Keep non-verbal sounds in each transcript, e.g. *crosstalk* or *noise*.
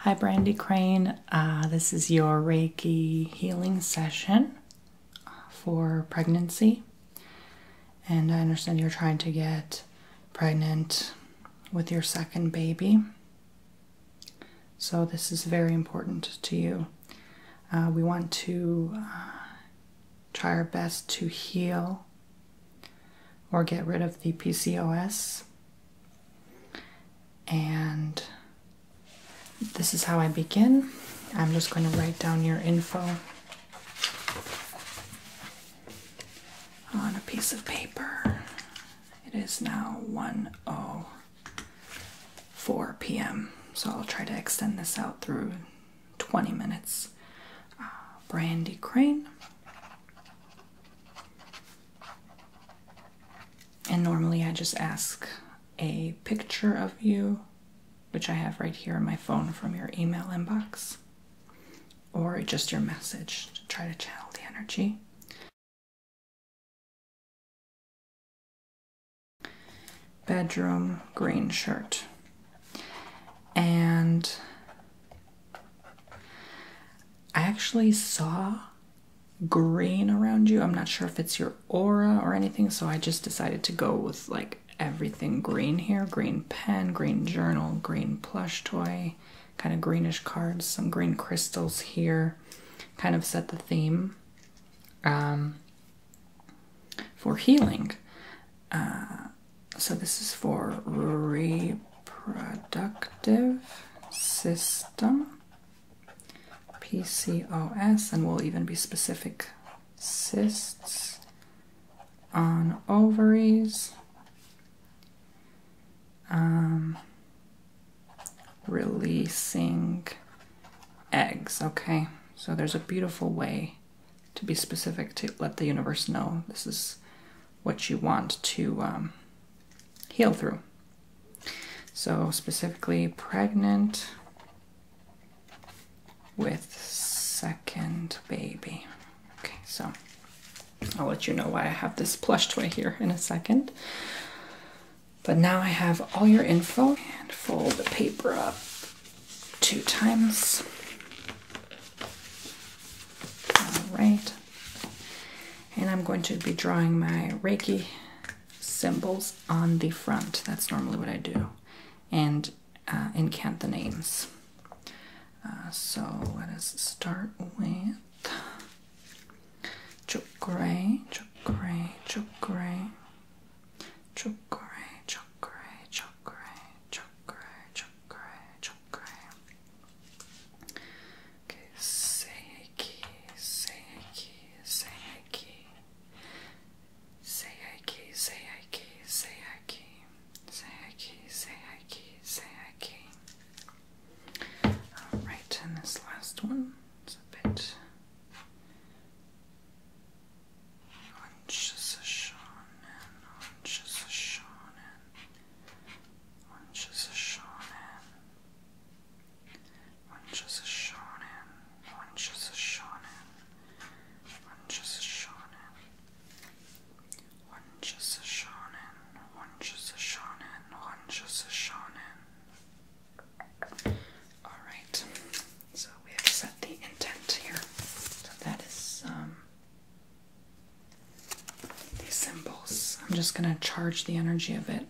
Hi, Brandy Crane. Uh, this is your Reiki healing session uh, for pregnancy. And I understand you're trying to get pregnant with your second baby. So, this is very important to you. Uh, we want to try our best to heal or get rid of the PCOS and this is how I begin. I'm just going to write down your info on a piece of paper. It is now 1:04 p.m. So I'll try to extend this out through 20 minutes. Uh, Brandy Crane and normally I just ask a picture of you, which I have right here on my phone from your email inbox, or just your message to try to channel the energy. Bedroom green shirt. And I actually saw green around you. I'm not sure if it's your aura or anything, so I just decided to go with like everything green here green pen, green journal, green plush toy, kind of greenish cards, some green crystals here. Kind of set the theme um, for healing. Uh, so, this is for reproductive system PCOS, and we'll even be specific cysts on ovaries, um, releasing eggs. Okay, so there's a beautiful way to be specific to let the universe know this is what you want to um, heal through. So, specifically, pregnant with second baby. Okay, so I'll let you know why I have this plush toy here in a second. But now I have all your info and fold the paper up two times. All right, and I'm going to be drawing my Reiki symbols on the front. That's normally what I do. And uh, incant the names. Uh, so let us start with Chokre, Chokre, Chokre, Chokre, Chokre, Chokre, Chokre, Chokre, Chokre, Okay, Seiki, Seiki, Seiki, Seiki, Seiki, Seiki, Seiki, Seiki, Seiki. Alright, and this last one is a bit. Orange is a shonen, orange is a shonen, orange is a shonen. One's just a shonen. One's just a shonen. One's just a shonen. One's just a shonen. One's just a shonen. One's just a shonen. Alright. So we have set the intent here. So that is um, these symbols. I'm just gonna charge the energy of it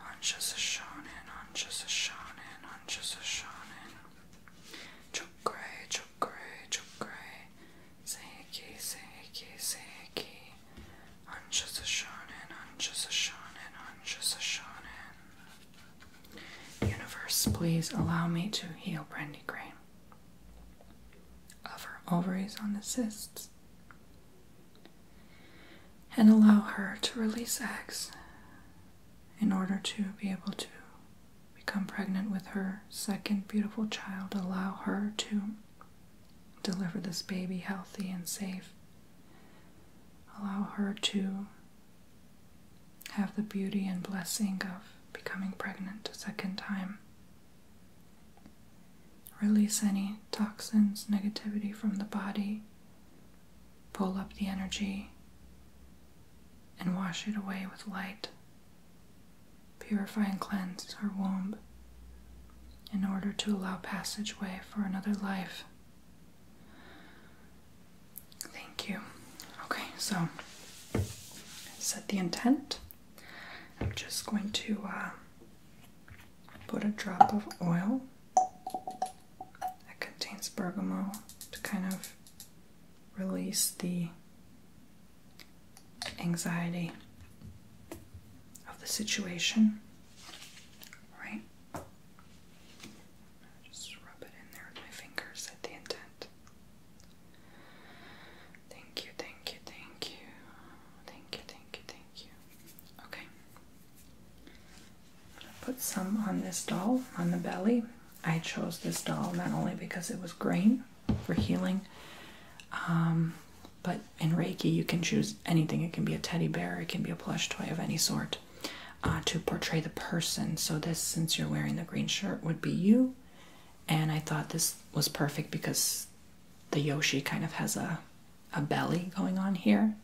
I'm just a shonen, I'm just a shonen, I'm just a shonen. Chokure, chokure, chokure. Seiki, seiki, seiki. I'm just a shonen, I'm just a shonen, I'm just a shonen. Universe, please allow me to heal Brandy Crane. Of her ovaries on the cysts. And allow her to release eggs in order to be able to become pregnant with her second beautiful child, allow her to deliver this baby healthy and safe, allow her to have the beauty and blessing of becoming pregnant a second time. Release any toxins, negativity from the body, pull up the energy, and wash it away with light. Purify and cleanse her womb in order to allow passageway for another life. Thank you. Okay, so set the intent. I'm just going to uh, put a drop of oil that contains bergamot to kind of release the anxiety of the situation. Right? Just rub it in there with my fingers at the intent. Thank you, thank you, thank you. Thank you, thank you, thank you. Okay. Put some on this doll, on the belly. I chose this doll not only because it was green for healing, um, but in Reiki you can choose anything. It can be a teddy bear, it can be a plush toy of any sort uh, to portray the person. So, this, since you're wearing the green shirt, would be you. And I thought this was perfect because the Yoshi kind of has a belly going on here.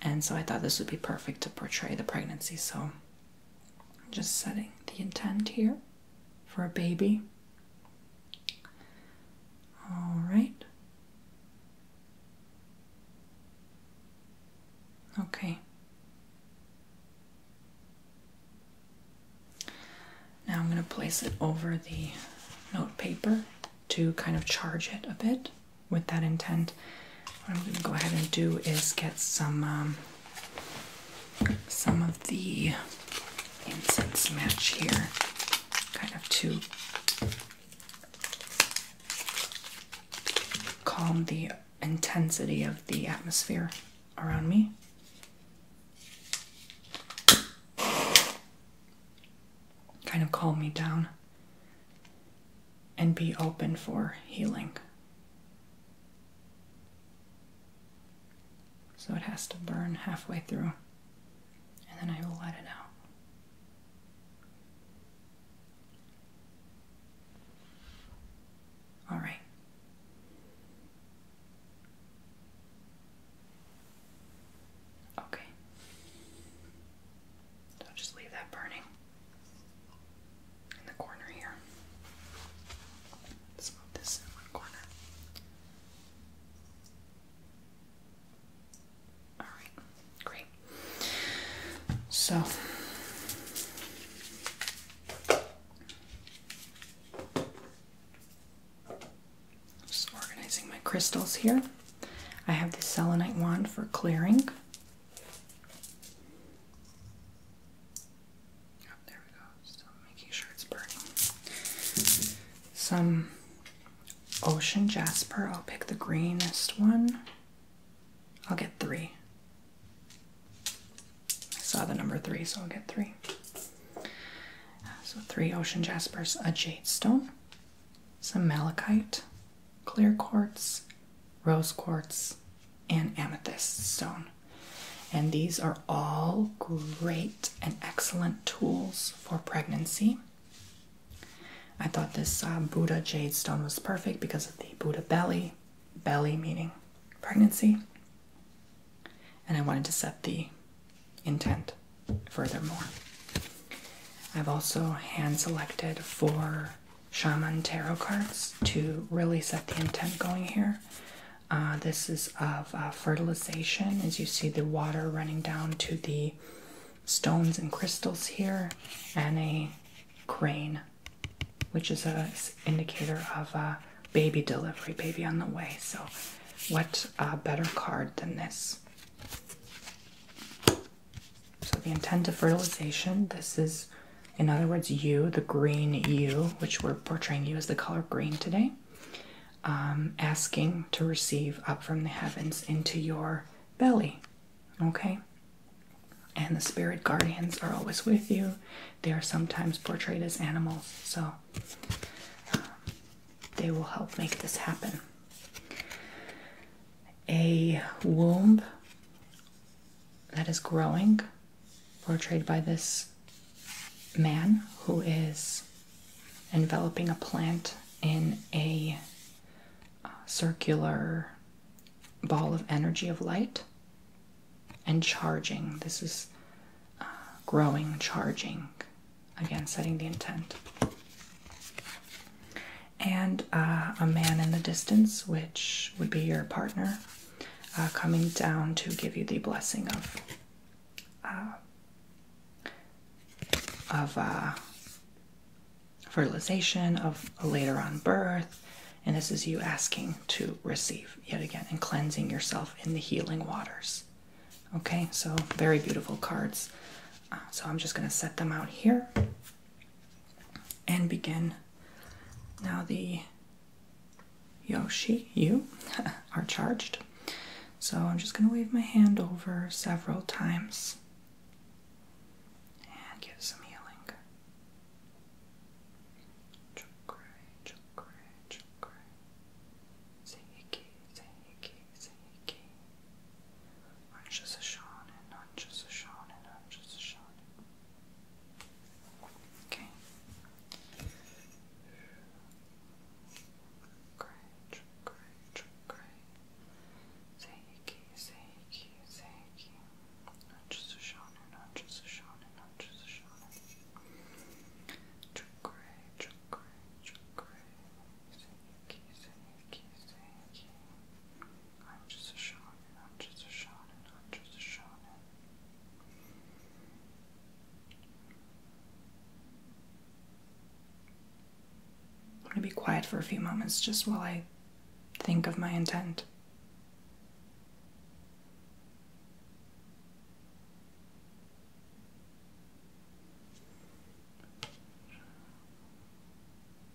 And so I thought this would be perfect to portray the pregnancy. So I'm just setting the intent here for a baby. All right. Okay. Now I'm going to place it over the note paper to kind of charge it a bit with that intent. What I'm going to go ahead and do is get some um, some of the incense match here, kind of to calm the intensity of the atmosphere around me. Kind of calm me down and be open for healing. So it has to burn halfway through, and then I will let it out. All right. Okay. So I'll just leave that burning in the corner here. Let's move this in one corner. Alright, great. So just organizing my crystals here. I have the selenite wand for clearing. Oh, there we go. Still making sure it's burning. Some ocean jasper. I'll pick the greenest one. I'll get three. I saw the number three, so I'll get three. So three ocean jaspers, a jade stone, some malachite, clear quartz, rose quartz, and amethyst stone. And these are all great and excellent tools for pregnancy. I thought this uh, Buddha jade stone was perfect because of the Buddha belly, belly meaning pregnancy. And I wanted to set the intent furthermore. I've also hand selected four shaman tarot cards to really set the intent going here. Uh, this is of uh, fertilization, as you see the water running down to the stones and crystals here, and a crane, which is a indicator of uh, baby delivery, baby on the way. So, what better card than this? So the intent of fertilization, this is in other words you, the green you, which we're portraying you as the color green today, um, asking to receive up from the heavens into your belly. Okay? And the spirit guardians are always with you. They are sometimes portrayed as animals, so um, they will help make this happen a womb that is growing, portrayed by this man who is enveloping a plant in a uh, circular ball of energy of light and charging. This is uh, growing, charging. Again, setting the intent and uh, a man in the distance, which would be your partner, uh, coming down to give you the blessing of uh, of fertilization, of later on birth, and this is you asking to receive yet again and cleansing yourself in the healing waters. Okay, so very beautiful cards. so I'm just going to set them out here and begin. Now the Yoshi, you, *laughs* are charged. So I'm just going to wave my hand over several times and give some healing just a shonen, hunches a shonen, hunches a shonen. Okay. Great, great, great. Seiki, Seiki, Seiki. Hunches a shonen, hunches a shonen, hunches a shonen. Chukure, chukure, chukure. I'm just a shonen, I'm just a shonen, I'm just a shonen. I'm gonna be quiet for a few moments just while I think of my intent.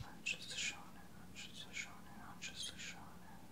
Manchester Shonen, Manchester Shonen, Manchester Shonen.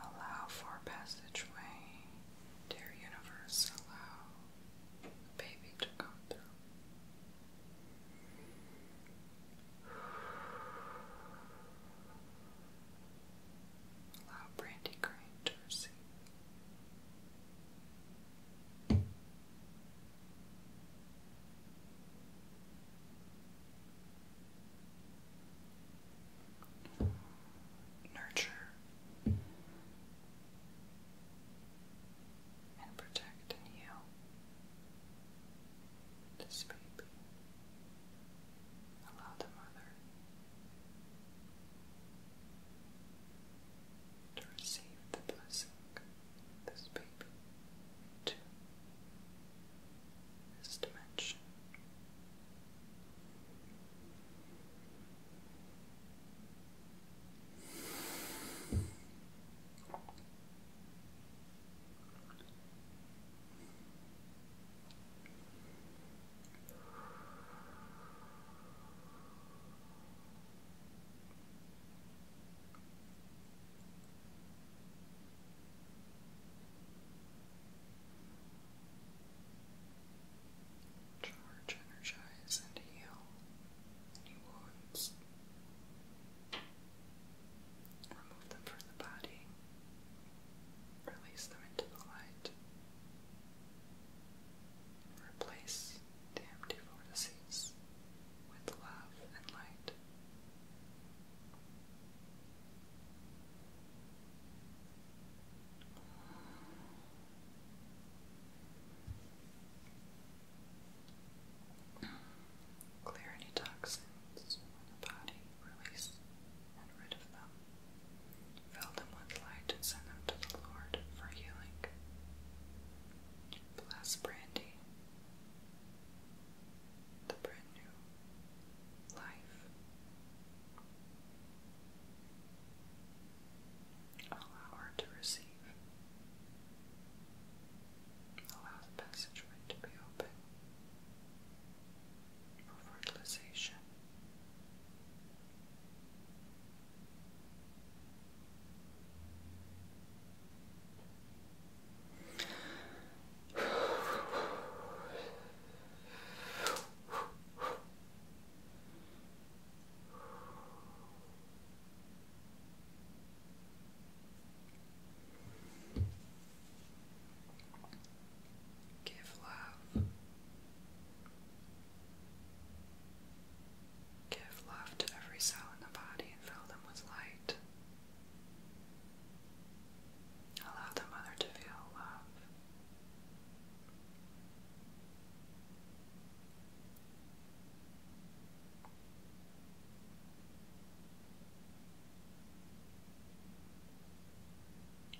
Allow for passageway, dear universe, allow the baby to go through. Allow Brandy Crane to receive. Nurture and protect and this baby. Allow the mother to receive the blessing of this baby to this Charge, energize, and heal any wounds. Remove them from the body. Release them into the light. Replace the empty vortices with love and light. Clear any toxins the body, release and rid of them. Fill them with light and send them to the Lord for healing. Bless Brandy, the brand new life. Allow her to receive. Allow the passageway to be open for fertilization. Give love Give love to every cell in the body and fill them with light. Allow the mother to feel love.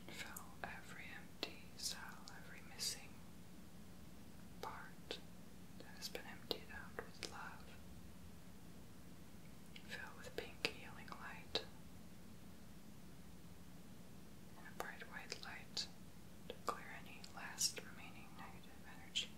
Fill every empties out every missing part that has been emptied out with love. Fill with pink healing light and bright white light to clear any last remaining negative energy.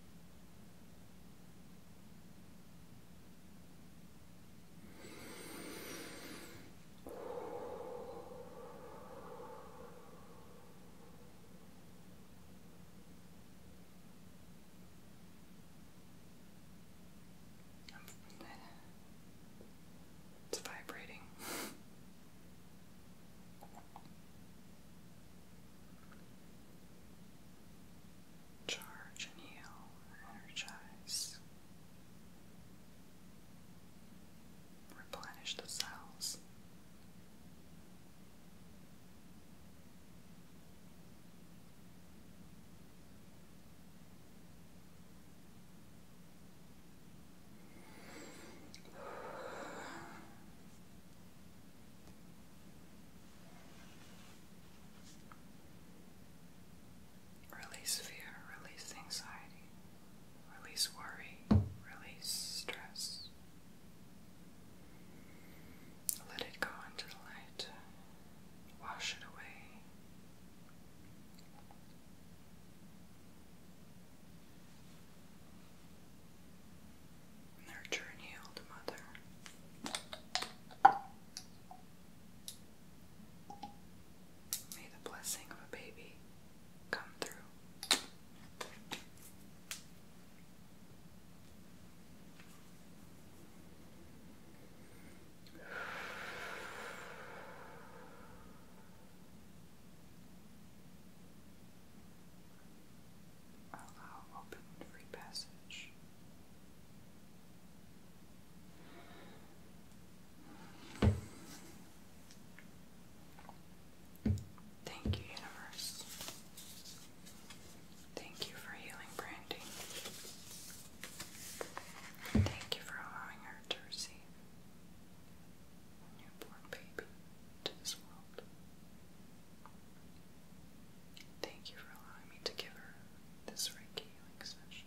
It's vibrating. Charge and heal, energize. Replenish the cells. Release fear, release anxiety, release worry, release stress. Let it go into the light, wash it away. Nurture and heal the mother. May the blessing of a baby come through. Allow open free passage. Thank you, universe. Thank you for healing Brandy. Thank you for allowing her to receive a newborn baby to this world. Thank you for allowing me to give her this Reiki healing session.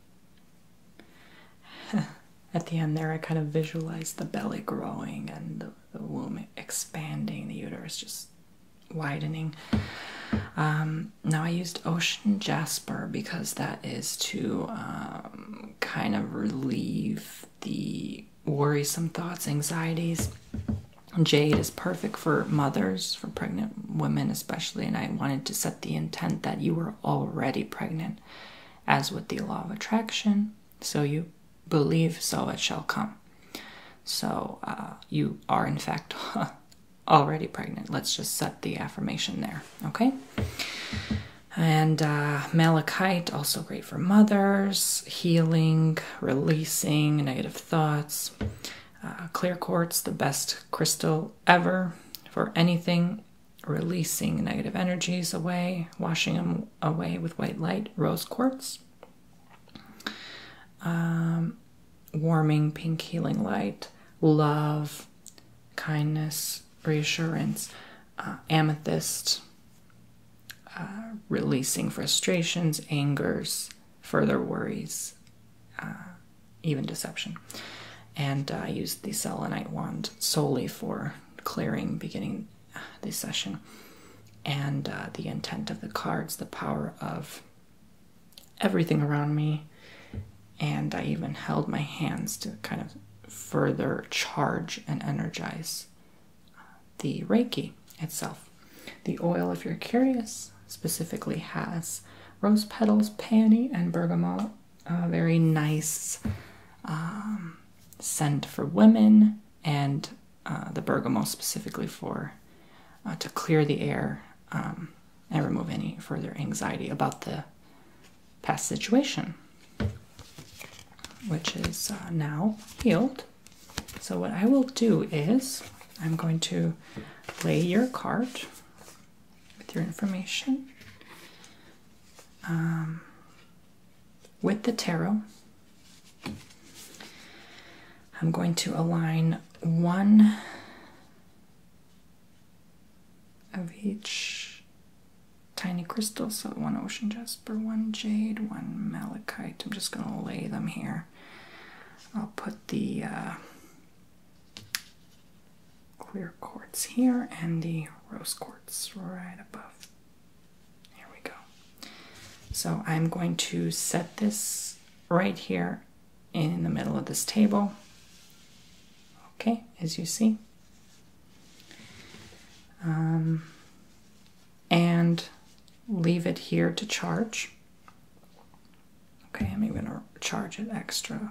*laughs* At the end there, I kind of visualized the belly growing and the, womb expanding, the uterus just widening. Um, now I used ocean jasper because that is to um, kind of relieve the worrisome thoughts, anxieties. Jade is perfect for mothers, for pregnant women especially, and I wanted to set the intent that you were already pregnant as with the law of attraction. So you believe, so it shall come. So uh, you are, in fact, *laughs* already pregnant. Let's just set the affirmation there, okay? And uh, malachite, also great for mothers, healing, releasing negative thoughts. Uh, clear quartz, the best crystal ever for anything releasing negative energies away, washing them away with white light, rose quartz, um, warming pink healing light, love, kindness, reassurance, uh, amethyst, uh, releasing frustrations, angers, further worries, uh, even deception. And I used the selenite wand solely for clearing beginning uh, the session. And uh, the intent of the cards, the power of everything around me. And I even held my hands to kind of further charge and energize uh, the Reiki itself. The oil, if you're curious, specifically has rose petals, peony, and bergamot a very nice um, scent for women and uh, the bergamot specifically for uh, to clear the air um, and remove any further anxiety about the past situation, which is uh, now healed. So, what I will do is, I'm going to lay your card with your information um, with the tarot. I'm going to align one of each tiny crystal. So one ocean jasper, one jade, one malachite. I'm just going to lay them here. I'll put the uh, clear quartz here and the rose quartz right above. There we go. So I'm going to set this right here in the middle of this table. Okay, as you see. Um, and leave it here to charge. Okay, I'm even gonna charge it extra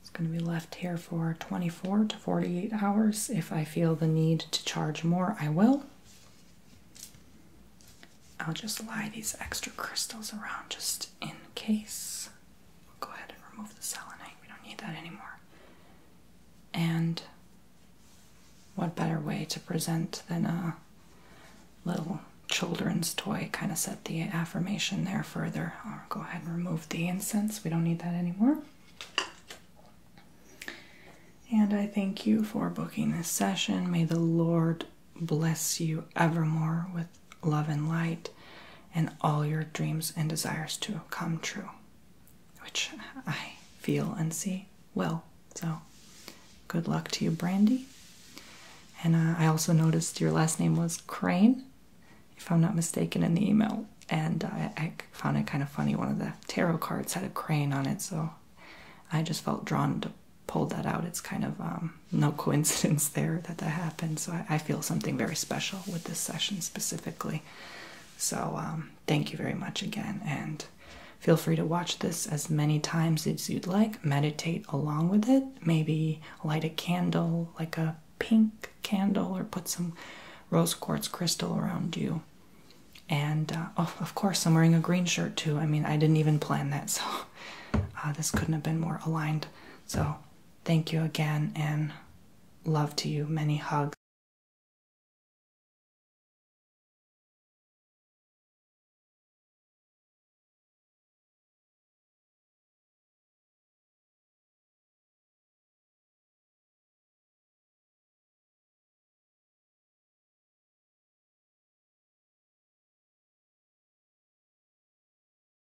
It's going to be left here for 24 to 48 hours. If I feel the need to charge more, I will. I'll just lie these extra crystals around just in case go ahead and remove the selenite. We don't need that anymore. And what better way to present than a little children's toy? Kind of set the affirmation there further. I'll go ahead and remove the incense. We don't need that anymore. And I thank you for booking this session. May the Lord bless you evermore with love and light, and all your dreams and desires to come true, which I feel and see well. So, good luck to you, Brandy. And uh, I also noticed your last name was Crane, if I'm not mistaken, in the email. And I found it kind of funny. One of the tarot cards had a crane on it, so I just felt drawn to pull that out. It's kind of um, no coincidence *laughs* there that that happened. So I feel something very special with this session specifically. So, um, thank you very much again, and feel free to watch this as many times as you'd like. Meditate along with it, maybe light a candle, like a pink candle, or put some rose quartz crystal around you. And oh, of course, I'm wearing a green shirt too. I mean, I didn't even plan that, *laughs* so uh, this couldn't have been more aligned. So, Thank you again and love to you. Many hugs.